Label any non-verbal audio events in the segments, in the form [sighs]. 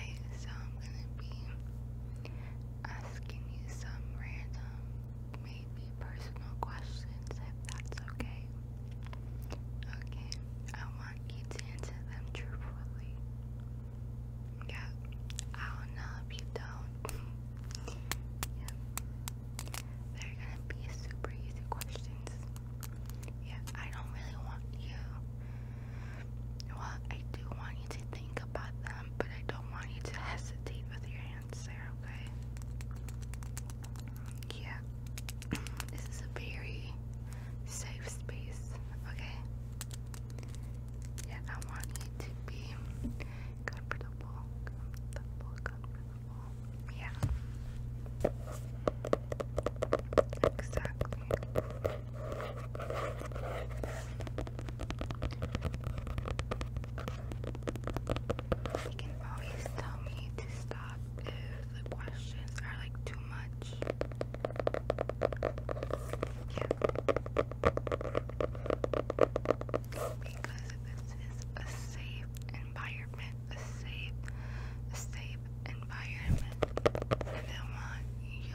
so I'm gonna be asking you some random, maybe personal questions if that's okay. Okay, I want you to answer them truthfully. Yeah, I don't know if you don't. [laughs] yeah. They're gonna be super easy questions. Yeah, I don't really want you well, I do want you to think about them, but I don't want you to hesitate with your answer, okay? Yeah. [clears throat] this is a very safe space, okay? Yeah, I want you to be comfortable, comfortable, comfortable. Yeah. Exactly. You can always tell me to stop if the questions are like too much. Yeah. Because this is a safe environment, a safe, a safe environment, and I want you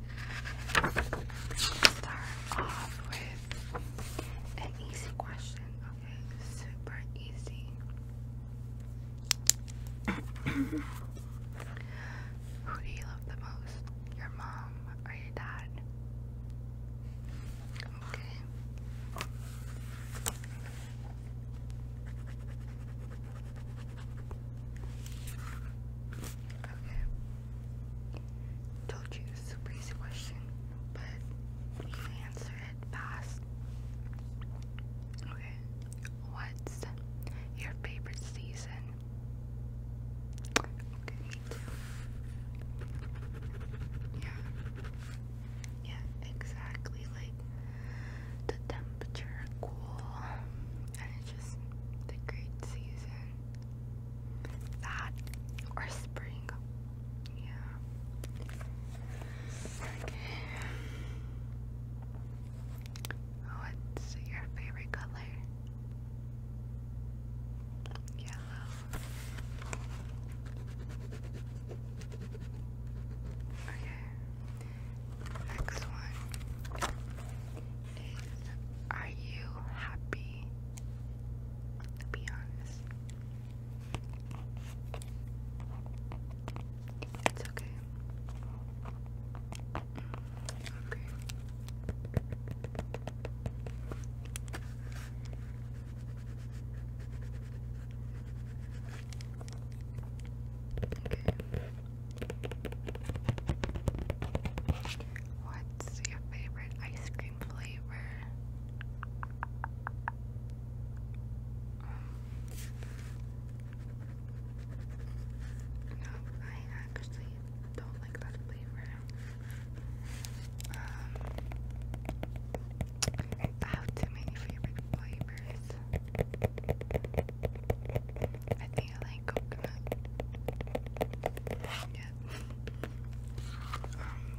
start off with an easy question. Okay, super easy. [coughs] Who do you love the most? Your mom or your dad? Okay. Okay. Told you it's a super easy question, but you answer it fast. Okay, what's your favorite season? Yeah. Yeah, exactly. Like the temperature cool and it's just the great season that or spring. Yeah. Okay. What's your favorite color? Yellow. Okay. Next one is are you happy? Be honest. It's okay. Okay. Okay. What's your favorite ice cream flavor? Um, no, I actually don't like that flavor. Um, many favorite flavors. I think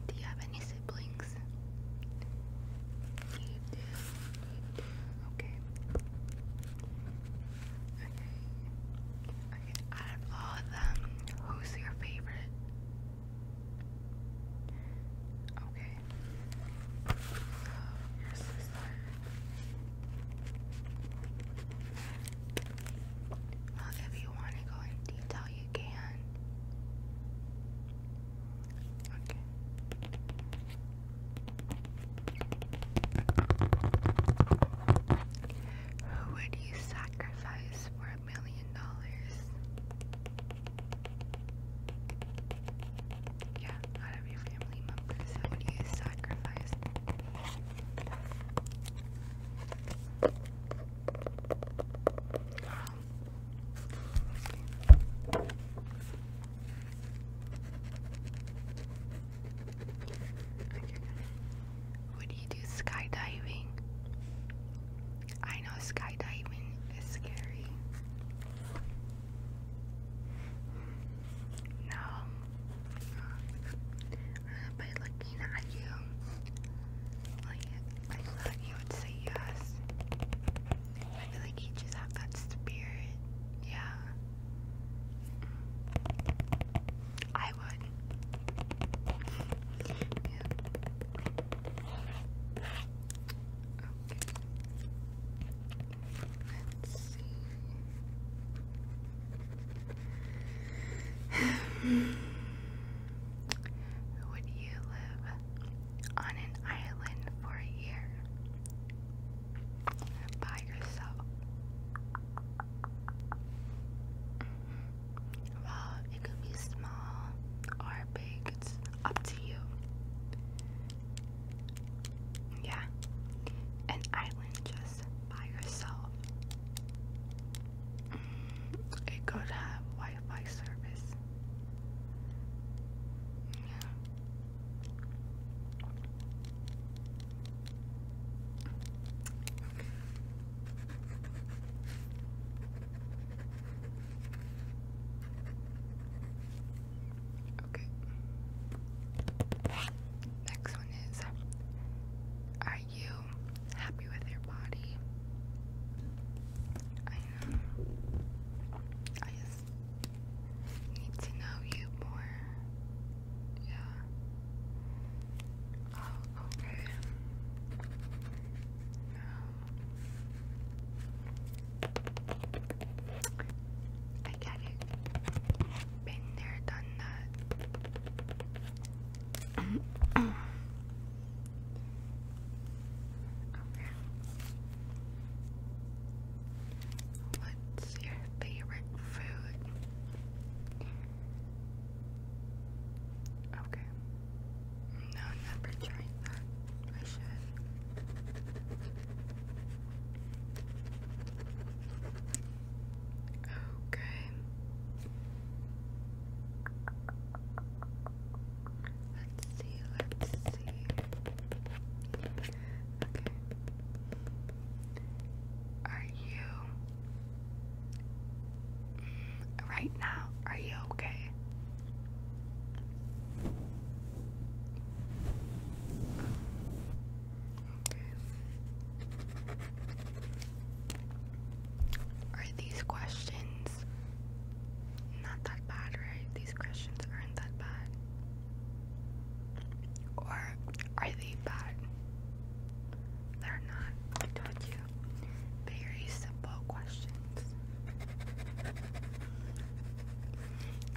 do you have any siblings? Okay. Okay. Okay, out of all of them, who's your favorite? Okay. Oh, if you want to go in detail, you can. Okay. Who would you sacrifice for a million dollars? Yeah, out of your family members, who would you sacrifice? Would you do skydiving? I know skydiving is scary. No. Uh, looking at you, I thought you would say yes. I feel like you just have that spirit. Yeah. I would. Let's see. [sighs] Would you live on an island for a year by yourself? Well, it could be small or big, it's up to you. Yeah, an island just is by yourself. It could have Wi Fi service. Okay. Next question is Are you happy with your body? I know. I just need to know you more. Yeah. Oh, okay. No. I get it. Been there, done that. What's your favorite food? Okay. No, never tried that. I should. Okay. Let's see, let's see. Okay. Are you mm, right now? Are you okay? Are these questions not that bad, right? These questions aren't that bad. Or are they bad? They're not. I told you. Very simple questions.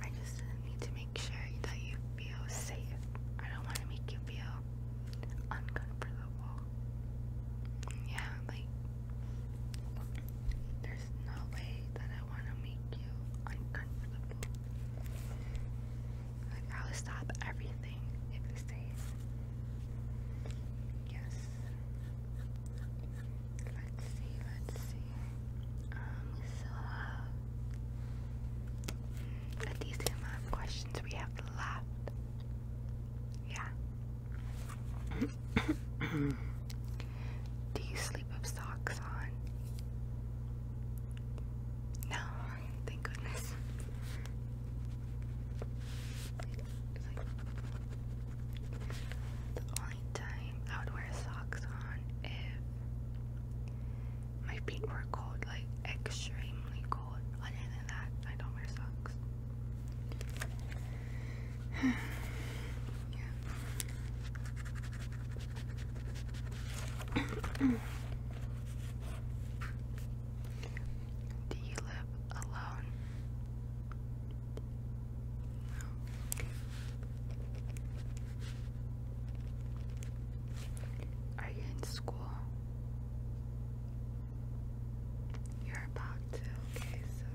I just need to make sure that you feel safe. I don't want to make you feel uncomfortable. Yeah, like there's no way that I want to make you uncomfortable. Like I would stop everything if you stayed. Yes. Let's see. Let's see. Um. So. Uh, a decent amount of questions we have left. Yeah. Do you sleep with socks on? No, thank goodness. The only time I would wear socks on if my feet were cold, like extremely cold. Other than that, I don't wear socks. [sighs] [clears throat] Do you live alone? Are you in school? You're about to, okay, so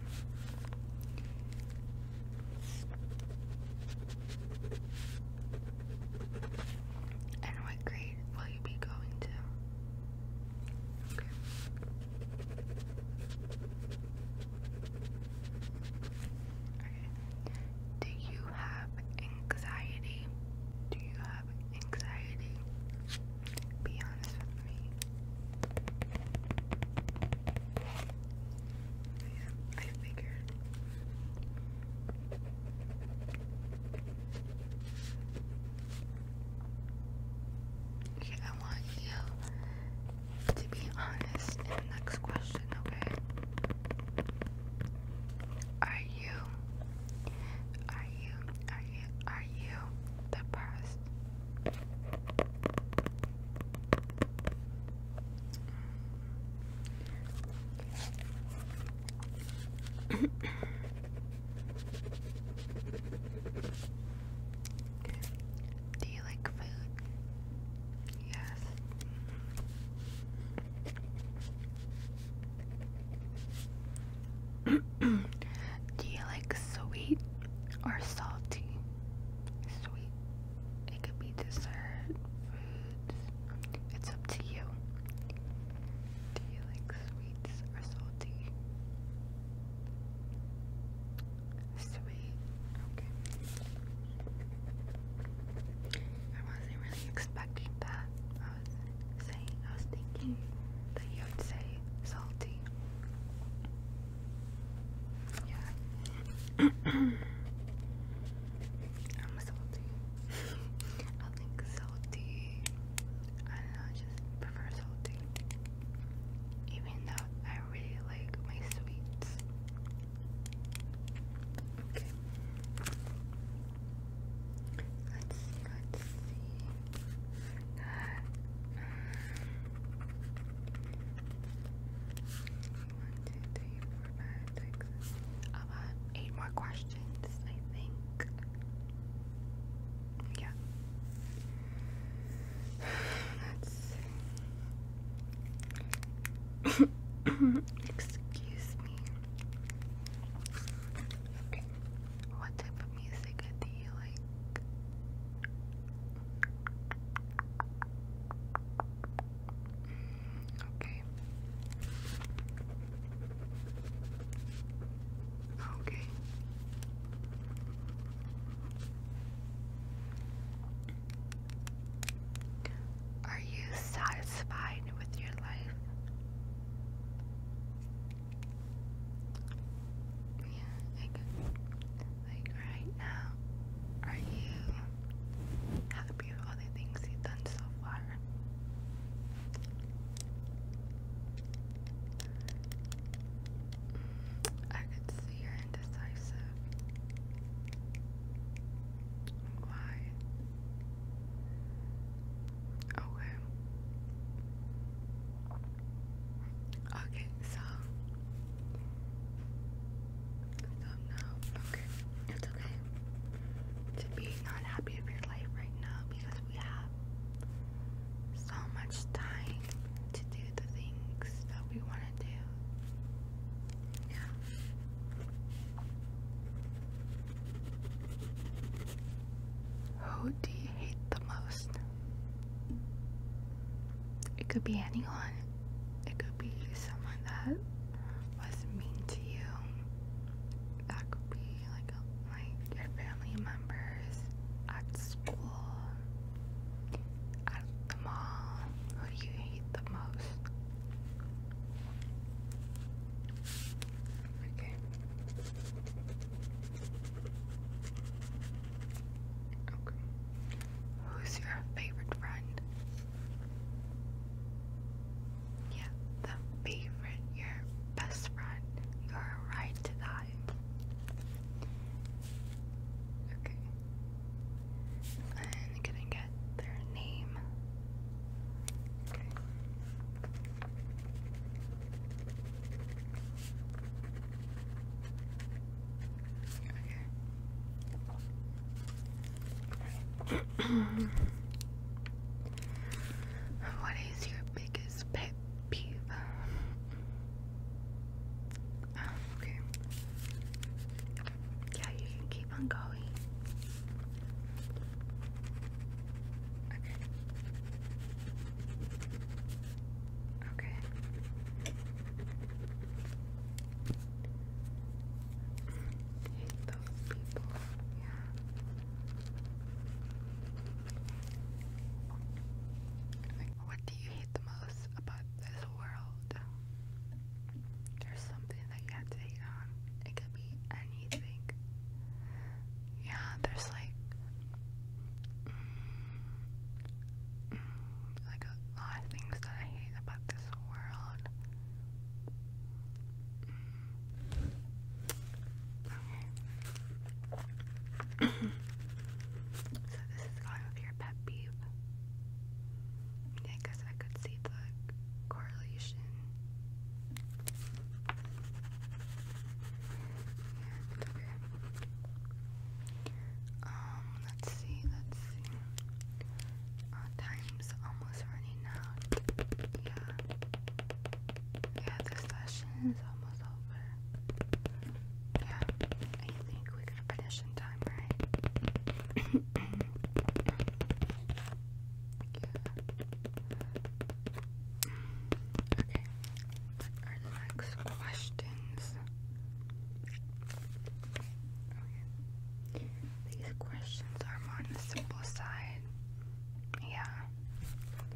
and what grade will you be going to? Okay. Do you have anxiety? Do you have anxiety, be honest with me. Yeah, I figured. Okay, I want you to be honest in the next question, okay? Are you are you, are you, are you the best? Do you like food? Yes. Do you like sweet or salty? Sweet. It could be dessert, foods. It's up to you. Do you like sweets or salty? Sweet. Okay. I wasn't really expecting that saying I was thinking that you would say salty. Yeah. [coughs] I'm salty. [laughs] I think salty. I just prefer salty. Even though I really like my sweets. Let's let's see. one, two, three, four, five, six. About eight more questions, I think. Yeah. Let's see. [coughs] Excuse me. What type of music do you like? okay. Okay. Are you satisfied with your life? Yeah, I Like right now, are you happy with all the things you've done so far? Mm, I could see you're indecisive. Why? Okay. Okay, so stop now. Okay. It's okay to be not happy of your life right now because we have so much time to do the things that we want to do. Yeah. Who do you hate the most? It could be anyone. It could be someone that was mean to you. That could be like a, like your family members at school, at the mall. Who do you hate the most? Okay. Okay. Who's your favorite friend? Yeah, the favorite, your best friend. You're right to die. Okay. And can I get their name? Okay. Okay. [clears throat] what is your biggest pet peeve? Oh, okay. Yeah, you can keep on going. Okay. Okay. Hate those people. Yeah. what do you hate the most about this world? There's something that you have to hate on. It could be any yeah, there's like mm, like a lot of things that I hate about this world. [coughs] so this is kind of your pet peeve. I guess I could see the correlation and, um, okay. let's see, let's see. Uh, time's almost running out. Yeah. Yeah, the session is almost over. Yeah, I think we could finish in time, right? [clears throat] [clears throat] Yeah. Okay. Our next questions. These questions are on the simple side. Yeah.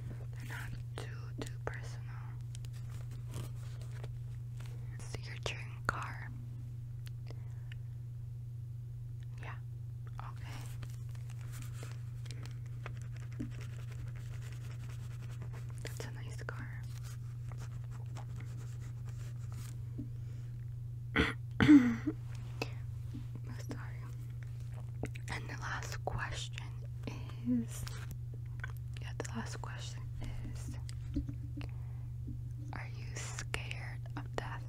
They're not too too personal. So car. Yeah. That's a nice car. [coughs] Sorry. And the last question is yeah, the last question is Are you scared of death?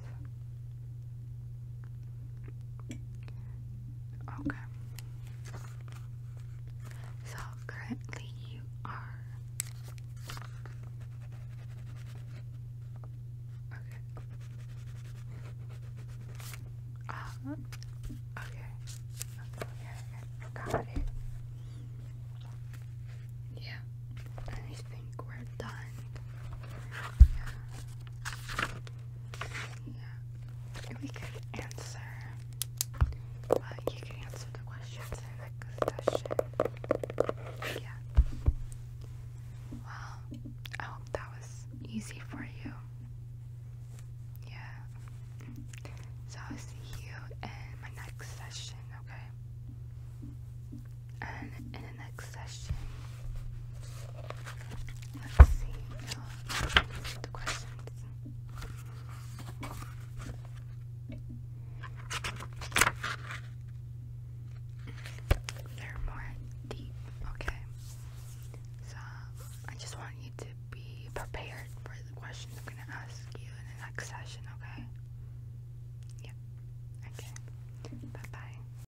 Okay. So you are okay. Uh, okay. Okay. Got it. Yeah. I think we're done. Yeah we could answer. Uh, you can answer the questions in the session. Yeah. Well, I hope that was easy for you. Yeah. So I'll see you in my next session, okay? And in the next session. Let's see. the questions. They're more deep, okay? So, I just want you to be prepared for the questions I'm going to ask you in the next session, okay? Yeah. Okay. Bye bye.